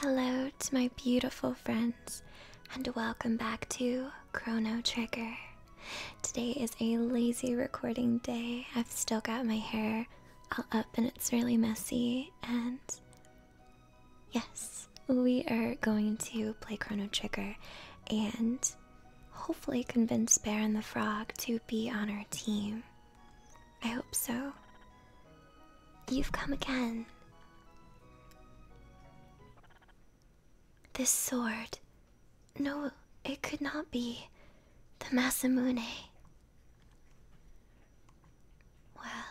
Hello to my beautiful friends, and welcome back to Chrono Trigger. Today is a lazy recording day. I've still got my hair all up and it's really messy, and yes, we are going to play Chrono Trigger and hopefully convince Bear and the Frog to be on our team. I hope so. You've come again. This sword. No, it could not be. The Masamune. Well,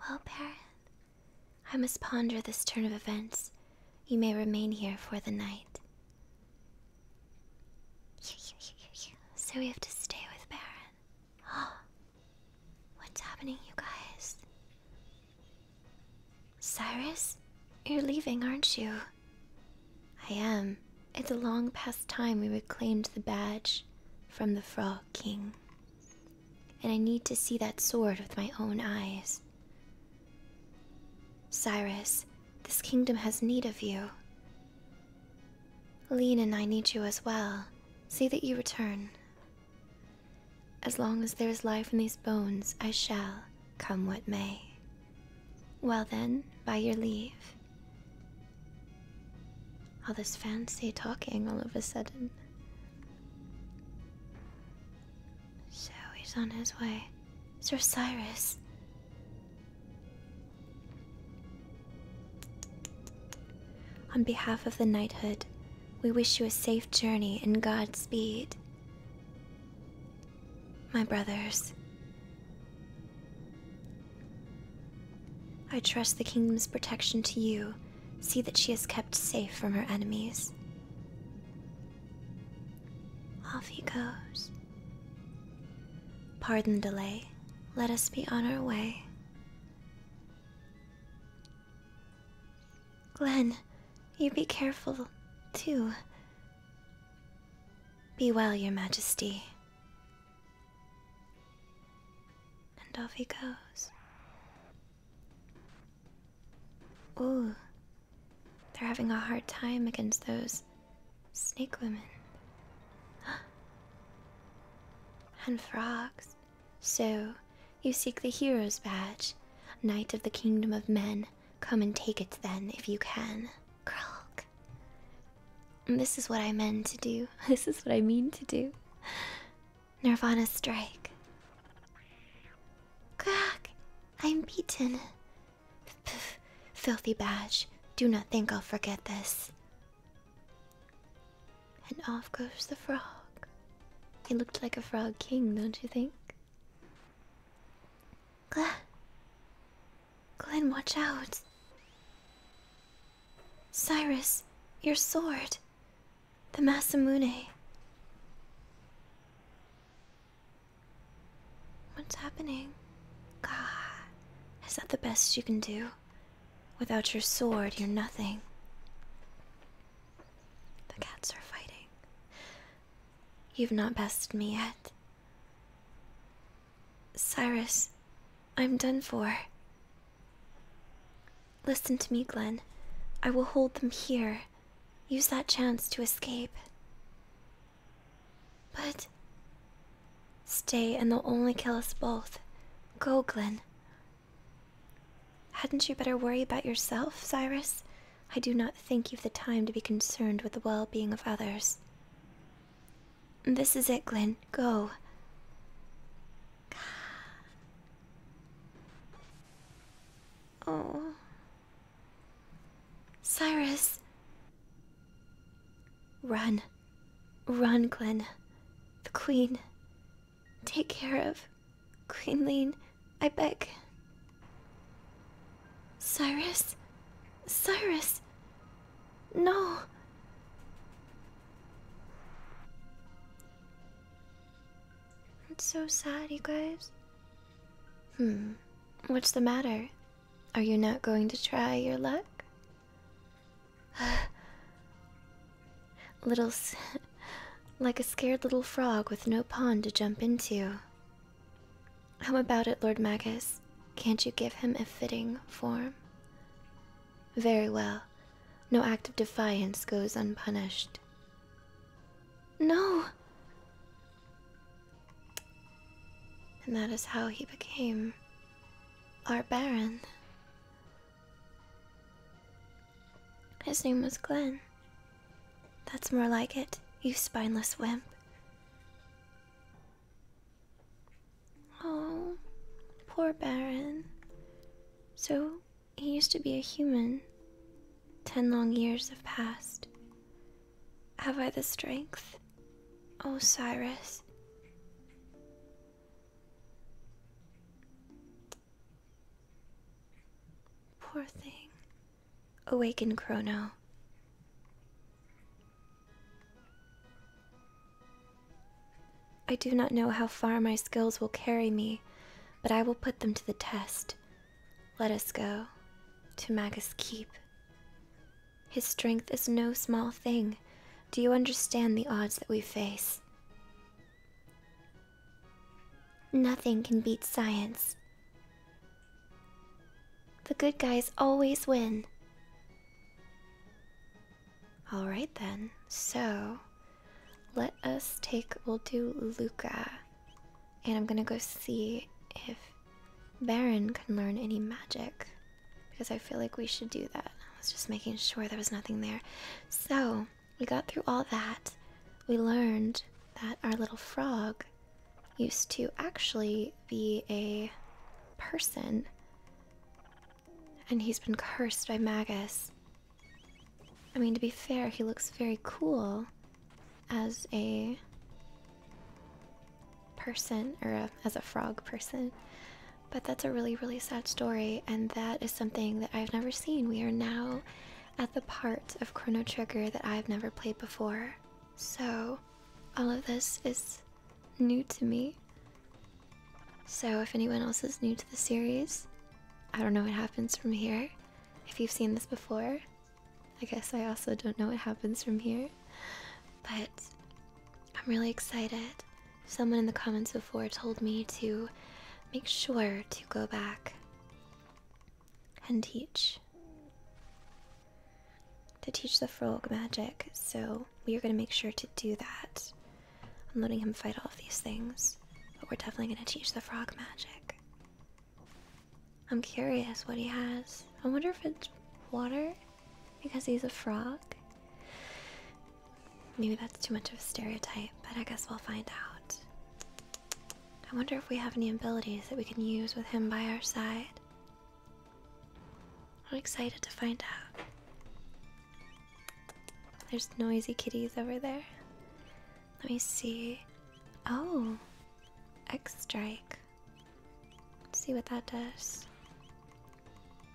well, Baron, I must ponder this turn of events. You may remain here for the night. So we have to stay with Baron. Oh, what's happening, you guys? Cyrus, you're leaving, aren't you? I am. It's a long past time we reclaimed the badge from the Frog King and I need to see that sword with my own eyes. Cyrus, this kingdom has need of you. Lean and I need you as well. See that you return. As long as there is life in these bones, I shall, come what may. Well then, by your leave. All this fancy talking all of a sudden. So he's on his way. Sir Cyrus. On behalf of the knighthood, we wish you a safe journey and Godspeed. My brothers, I trust the kingdom's protection to you See that she is kept safe from her enemies. Off he goes. Pardon delay. Let us be on our way. Glenn, you be careful, too. Be well, Your Majesty. And off he goes. Ooh, they're having a hard time against those snake women. and frogs. So, you seek the hero's badge, knight of the kingdom of men. Come and take it then, if you can. Krog. This is what I meant to do. This is what I mean to do. Nirvana Strike. Crack! I'm beaten. Pff, filthy badge. Do not think I'll forget this. And off goes the frog. He looked like a frog king, don't you think? Glenn, Glenn, watch out. Cyrus, your sword. The Masamune. What's happening? God, is that the best you can do? Without your sword, you're nothing. The cats are fighting. You've not bested me yet. Cyrus, I'm done for. Listen to me, Glenn. I will hold them here. Use that chance to escape. But. Stay, and they'll only kill us both. Go, Glenn. Hadn't you better worry about yourself, Cyrus? I do not think you've the time to be concerned with the well being of others. This is it, Glenn. Go. Oh. Cyrus. Run. Run, Glen. The Queen. Take care of Queen Lean, I beg. Cyrus? Cyrus? No. That's so sad, you guys. Hmm, what's the matter? Are you not going to try your luck? little. like a scared little frog with no pond to jump into. How about it, Lord Magus? Can't you give him a fitting form? Very well. No act of defiance goes unpunished. No! And that is how he became our Baron. His name was Glenn. That's more like it, you spineless wimp. Oh, poor Baron. So, he used to be a human. Ten long years have passed. Have I the strength? Oh, Cyrus. Poor thing. Awaken, Chrono. I do not know how far my skills will carry me, but I will put them to the test. Let us go to Magus Keep. His strength is no small thing. Do you understand the odds that we face? Nothing can beat science. The good guys always win. Alright then, so let us take, we'll do Luca. And I'm gonna go see if Baron can learn any magic. Because I feel like we should do that. I was just making sure there was nothing there. So, we got through all that. We learned that our little frog used to actually be a person and he's been cursed by Magus. I mean, to be fair, he looks very cool as a person, or as a frog person. But that's a really, really sad story, and that is something that I've never seen. We are now at the part of Chrono Trigger that I've never played before. So, all of this is new to me. So, if anyone else is new to the series, I don't know what happens from here. If you've seen this before, I guess I also don't know what happens from here. But I'm really excited. Someone in the comments before told me to make sure to go back and teach. To teach the frog magic, so we are going to make sure to do that. I'm letting him fight all of these things, but we're definitely gonna teach the frog magic. I'm curious what he has. I wonder if it's water because he's a frog. Maybe that's too much of a stereotype, but I guess we'll find out. I wonder if we have any abilities that we can use with him by our side. I'm excited to find out. There's noisy kitties over there. Let me see. Oh, X strike. see what that does.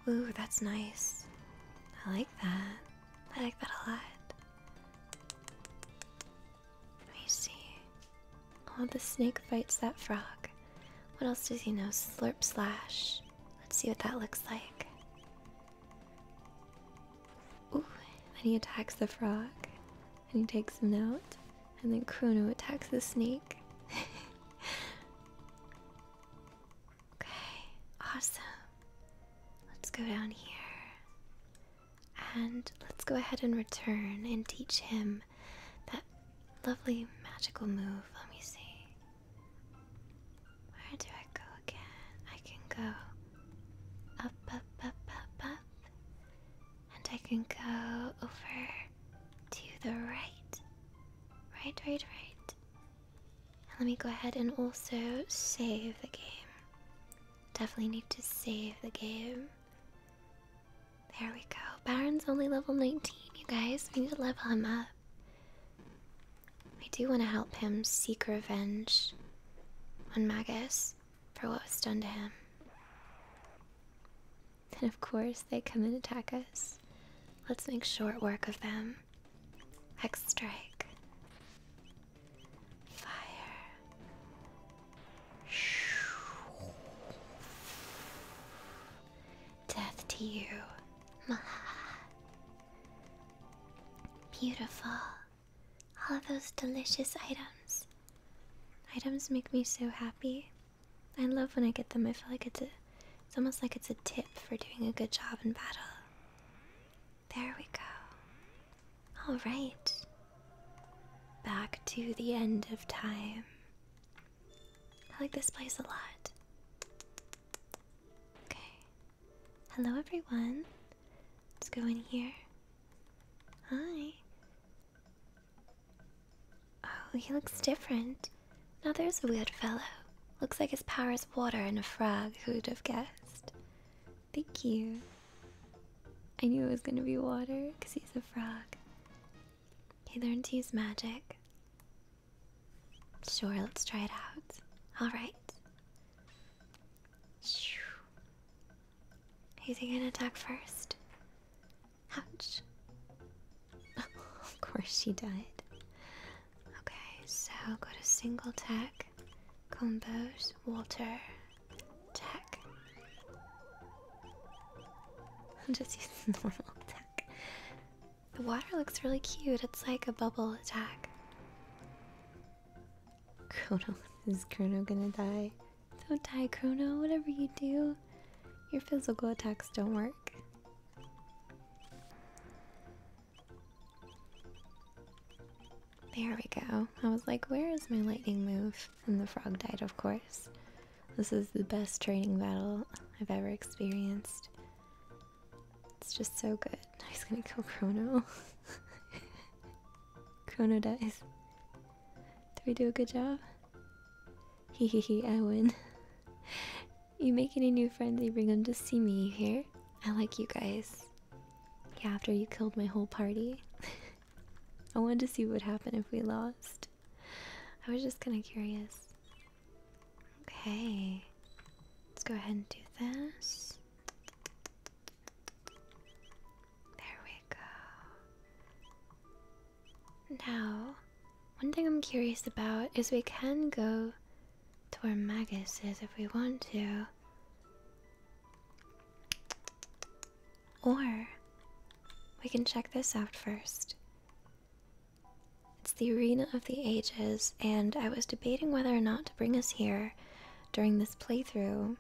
Ooh, that's nice. I like that. I like that a lot. Let me see. Oh, the snake bites that frog. What else does he know? Slurp slash. Let's see what that looks like. Ooh, then he attacks the frog, and he takes him out, and then Chrono attacks the snake. okay, awesome. Let's go down here. And let's go ahead and return and teach him that lovely magical move. Let me see. Where do I go again? I can go up, up, up, up, up. And I can go over to the right. Right, right, right. let me go ahead and also save the game. Definitely need to save the game. There we go. Baron's only level 19, you guys. We need to level him up. I do want to help him seek revenge on Magus for what was done to him. And of course, they come and attack us. Let's make short work of them. X strike. Fire. Death to you. Beautiful. All of those delicious items. Items make me so happy. I love when I get them. I feel like it's a it's almost like it's a tip for doing a good job in battle. There we go. All right. Back to the end of time. I like this place a lot. Okay. Hello, everyone. Let's go in here. Hi. Oh, he looks different. Now there's a weird fellow. Looks like his power is water and a frog. Who'd have guessed? Thank you. I knew it was gonna be water because he's a frog. He learned to use magic. Sure, let's try it out. Alright. Who's gonna attack first? Ouch. of course she died. Okay, so go to single tech, combos, water, tech. I'll just use normal tech. The water looks really cute. It's like a bubble attack. Chrono, is Chrono gonna die? Don't die, Chrono. Whatever you do, your physical attacks don't work. There we go. I was like, where is my lightning move? And the frog died, of course. This is the best training battle I've ever experienced. It's just so good. I'm gonna kill Chrono. Chrono dies. Did we do a good job? Hee hee hee, I win. You make any new friends, you bring them to see me, here. I like you guys. Yeah, after you killed my whole party. I wanted to see what would happen if we lost. I was just kinda curious. Okay. Let's go ahead and do this. There we go. Now, one thing I'm curious about is we can go to where Magus is if we want to. Or we can check this out first. It's the Arena of the Ages, and I was debating whether or not to bring us here during this playthrough,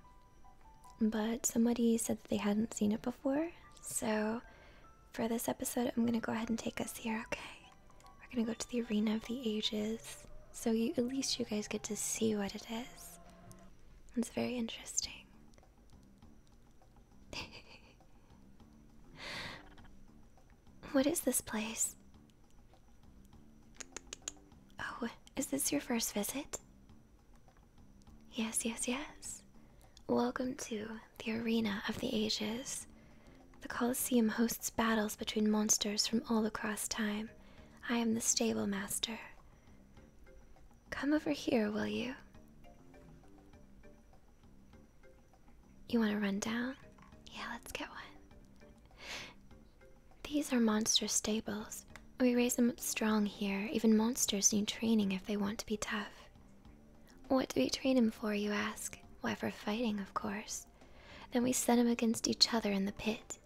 but somebody said that they hadn't seen it before, so for this episode, I'm gonna go ahead and take us here, okay? We're gonna go to the Arena of the Ages, so you, at least you guys get to see what it is. It's very interesting. what is this place? Oh, is this your first visit? Yes, yes, yes. Welcome to the Arena of the Ages. The Colosseum hosts battles between monsters from all across time. I am the stable master. Come over here, will you? You want to run down? Yeah, let's get one. These are monster stables. We raise them strong here. Even monsters need training if they want to be tough. What do we train him for, you ask? Why, for fighting, of course. Then we set him against each other in the pit.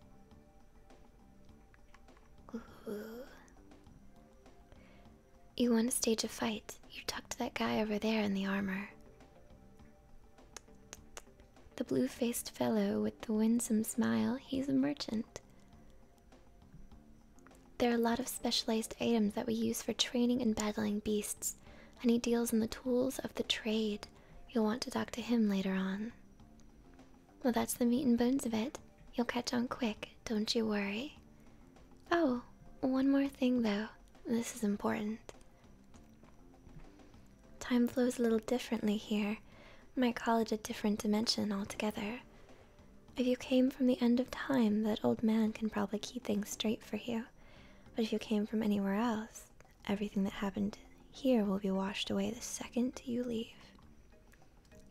You want to stage a fight. You tucked that guy over there in the armor. The blue faced fellow with the winsome smile, he's a merchant. There are a lot of specialized items that we use for training and battling beasts, and he deals in the tools of the trade. You'll want to talk to him later on. Well, that's the meat and bones of it. You'll catch on quick, don't you worry. Oh, one more thing though. This is important. Time flows a little differently here. Might call it a different dimension altogether. If you came from the end of time, that old man can probably keep things straight for you. But if you came from anywhere else, everything that happened here will be washed away the second you leave.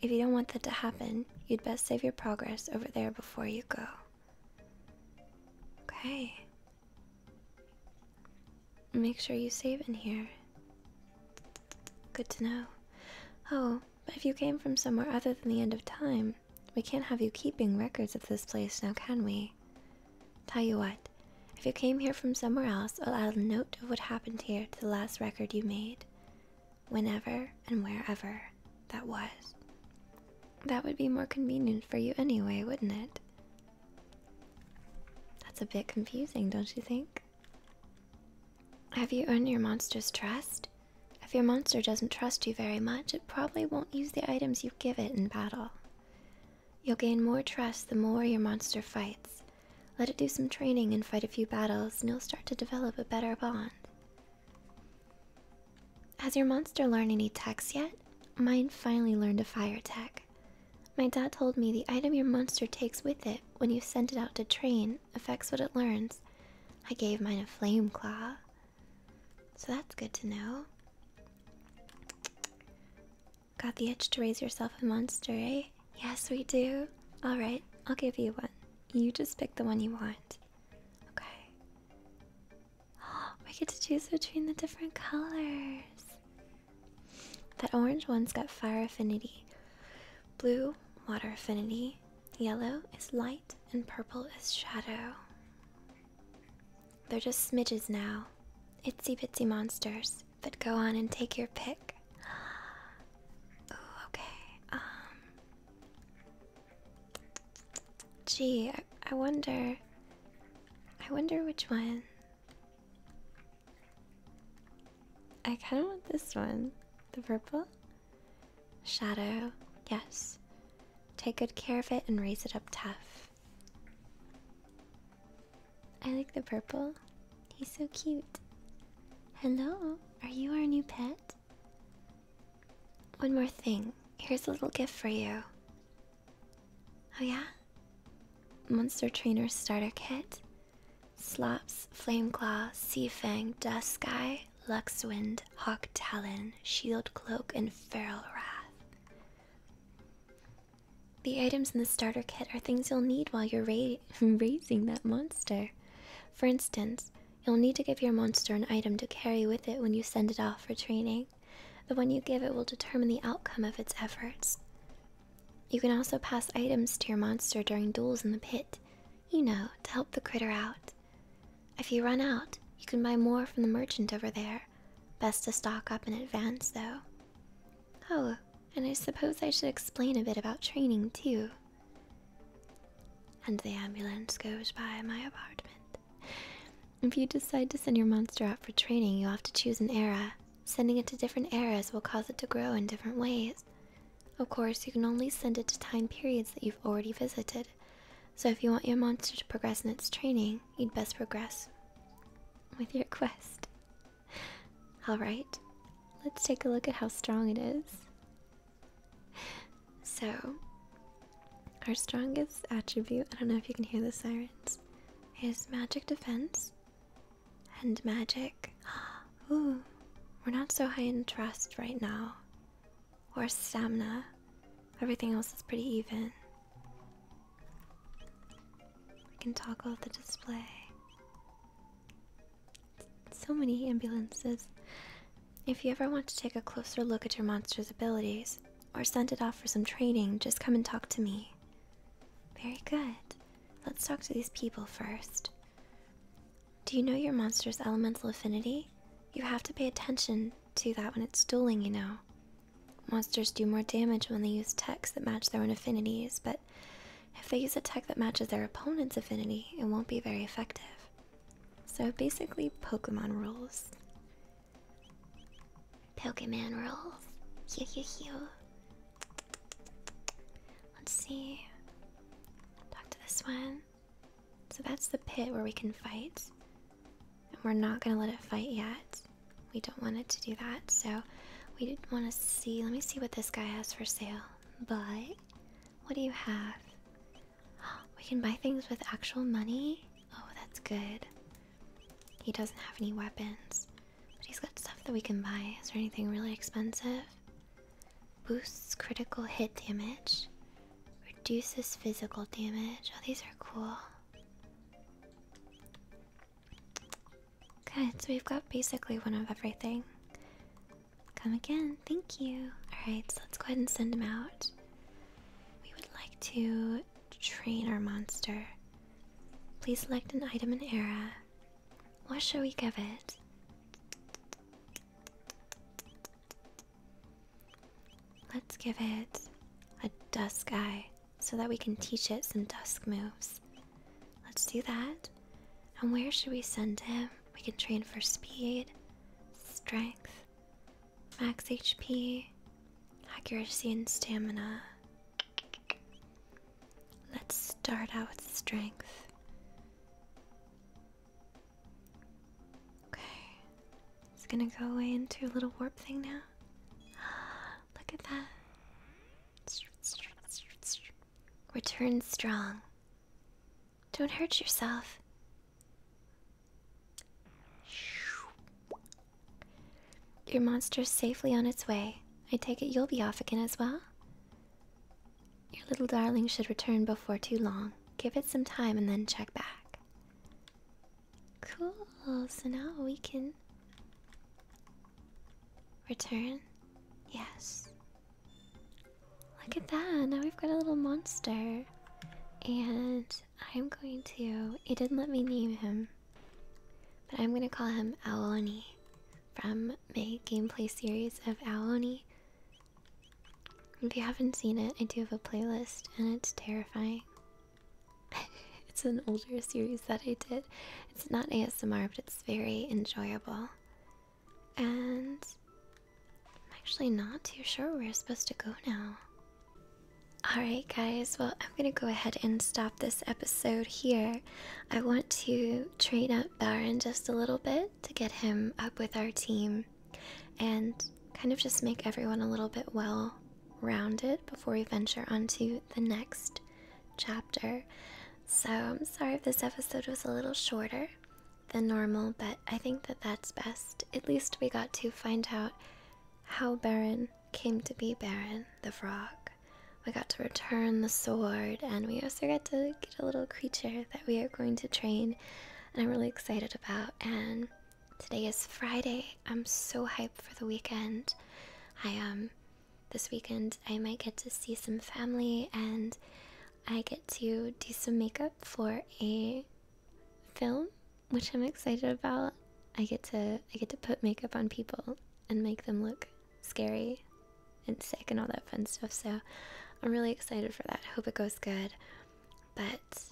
If you don't want that to happen, you'd best save your progress over there before you go. Okay. Make sure you save in here. Good to know. Oh, but if you came from somewhere other than the end of time, we can't have you keeping records of this place now, can we? Tell you what, if you came here from somewhere else, I'll add a note of what happened here to the last record you made whenever and wherever that was. That would be more convenient for you anyway, wouldn't it? That's a bit confusing, don't you think? Have you earned your monster's trust? If your monster doesn't trust you very much, it probably won't use the items you give it in battle. You'll gain more trust the more your monster fights. Let it do some training and fight a few battles, and you'll start to develop a better bond. Has your monster learned any techs yet? Mine finally learned a fire tech. My dad told me the item your monster takes with it when you send it out to train affects what it learns. I gave mine a flame claw. So that's good to know. Got the itch to raise yourself a monster, eh? Yes, we do. Alright, I'll give you one. You just pick the one you want. Okay. we get to choose between the different colors. That orange one's got fire affinity, blue, water affinity, yellow is light, and purple is shadow. They're just smidges now. Itsy bitsy monsters, but go on and take your pick. okay. Um, Gee, I, wonder. I wonder which one. I kind of want this one. The purple? Shadow, yes. Take good care of it and raise it up tough. I like the purple. He's so cute. Hello, are you our new pet? One more thing. Here's a little gift for you. Oh, yeah? Monster Trainer Starter Kit. Slops, Flame Claw, Sea Fang, Dust Sky, Luxwind, Hawk Talon, Shield Cloak, and Feral Wrath. The items in the starter kit are things you'll need while you're raising that monster. For instance, You'll need to give your monster an item to carry with it when you send it off for training. The one you give it will determine the outcome of its efforts. You can also pass items to your monster during duels in the pit, you know, to help the critter out. If you run out, you can buy more from the merchant over there. Best to stock up in advance, though. Oh, and I suppose I should explain a bit about training, too. And the ambulance goes by my apartment. If you decide to send your monster out for training, you'll have to choose an era. Sending it to different eras will cause it to grow in different ways. Of course, you can only send it to time periods that you've already visited. So if you want your monster to progress in its training, you'd best progress with your quest. Alright, let's take a look at how strong it is so, our strongest attribute, I don't know if you can hear the sirens, is magic defense and magic. Ooh, we're not so high in trust right now, or stamina. Everything else is pretty even. We can toggle the display. So many ambulances. If you ever want to take a closer look at your monster's abilities, or send it off for some training, just come and talk to me. Very good. Let's talk to these people first. Do you know your monster's elemental affinity? You have to pay attention to that when it's dueling, you know. Monsters do more damage when they use texts that match their own affinities, but if they use a tech that matches their opponent's affinity, it won't be very effective. So basically, Pokemon rules. Pokemon rules. Hew, hew, hew. Let's see. Talk to this one. So that's the pit where we can fight. And we're not gonna let it fight yet. We don't want it to do that, so we want to see. Let me see what this guy has for sale but what do you have? We can buy things with actual money. Oh, that's good. He doesn't have any weapons, but he's got stuff that we can buy. Is there anything really expensive? Boosts critical hit damage, reduces physical damage. Oh, these are cool. Okay, so we've got basically one of everything. Come again. Thank you. Alright, so let's go ahead and send them out. We would like to train our monster. Please select an item and era. What should we give it? Let's give it a dusk eye so that we can teach it some dusk moves. Let's do that. And where should we send him? We can train for speed, strength, max HP, accuracy, and stamina. Let's start out with strength. Okay. It's gonna go away into a little warp thing now. Look at that. Return strong. Don't hurt yourself. Your monster's safely on its way. I take it you'll be off again as well? Your little darling should return before too long. Give it some time and then check back. Cool, so now we can. Return? Yes. Look at that, now we've got a little monster. And I'm going to. It didn't let me name him. But I'm gonna call him Aoni from my gameplay series of Aoni. If you haven't seen it, I do have a playlist and it's terrifying. it's an older series that I did. It's not ASMR, but it's very enjoyable. And I'm actually not too sure where we're supposed to go now. Alright, guys, well, I'm gonna go ahead and stop this episode here. I want to train up Baron just a little bit to get him up with our team and kind of just make everyone a little bit well rounded before we venture onto the next chapter. So I'm sorry if this episode was a little shorter than normal, but I think that that's best. At least we got to find out how Baron came to be Baron the Frog. We got to return the sword, and we also got to get a little creature that we are going to train, and I'm really excited about. And today is Friday. I'm so hyped for the weekend. I um this weekend, I might get to see some family and I get to do some makeup for a film, which I'm excited about. I get to I get to put makeup on people and make them look scary and sick and all that fun stuff. So I'm really excited for that. hope it goes good. But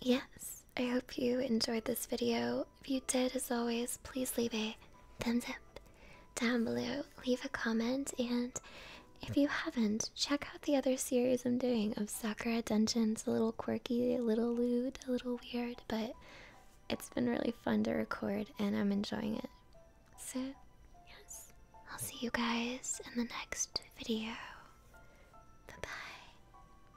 yes, I hope you enjoyed this video. If you did, as always, please leave a thumbs up down below, leave a comment, and if you haven't, check out the other series I'm doing of Sakura Dungeons. a little quirky, a little lewd, a little weird, but it's been really fun to record and I'm enjoying it. So, yes, I'll see you guys in the next video. Bye bye.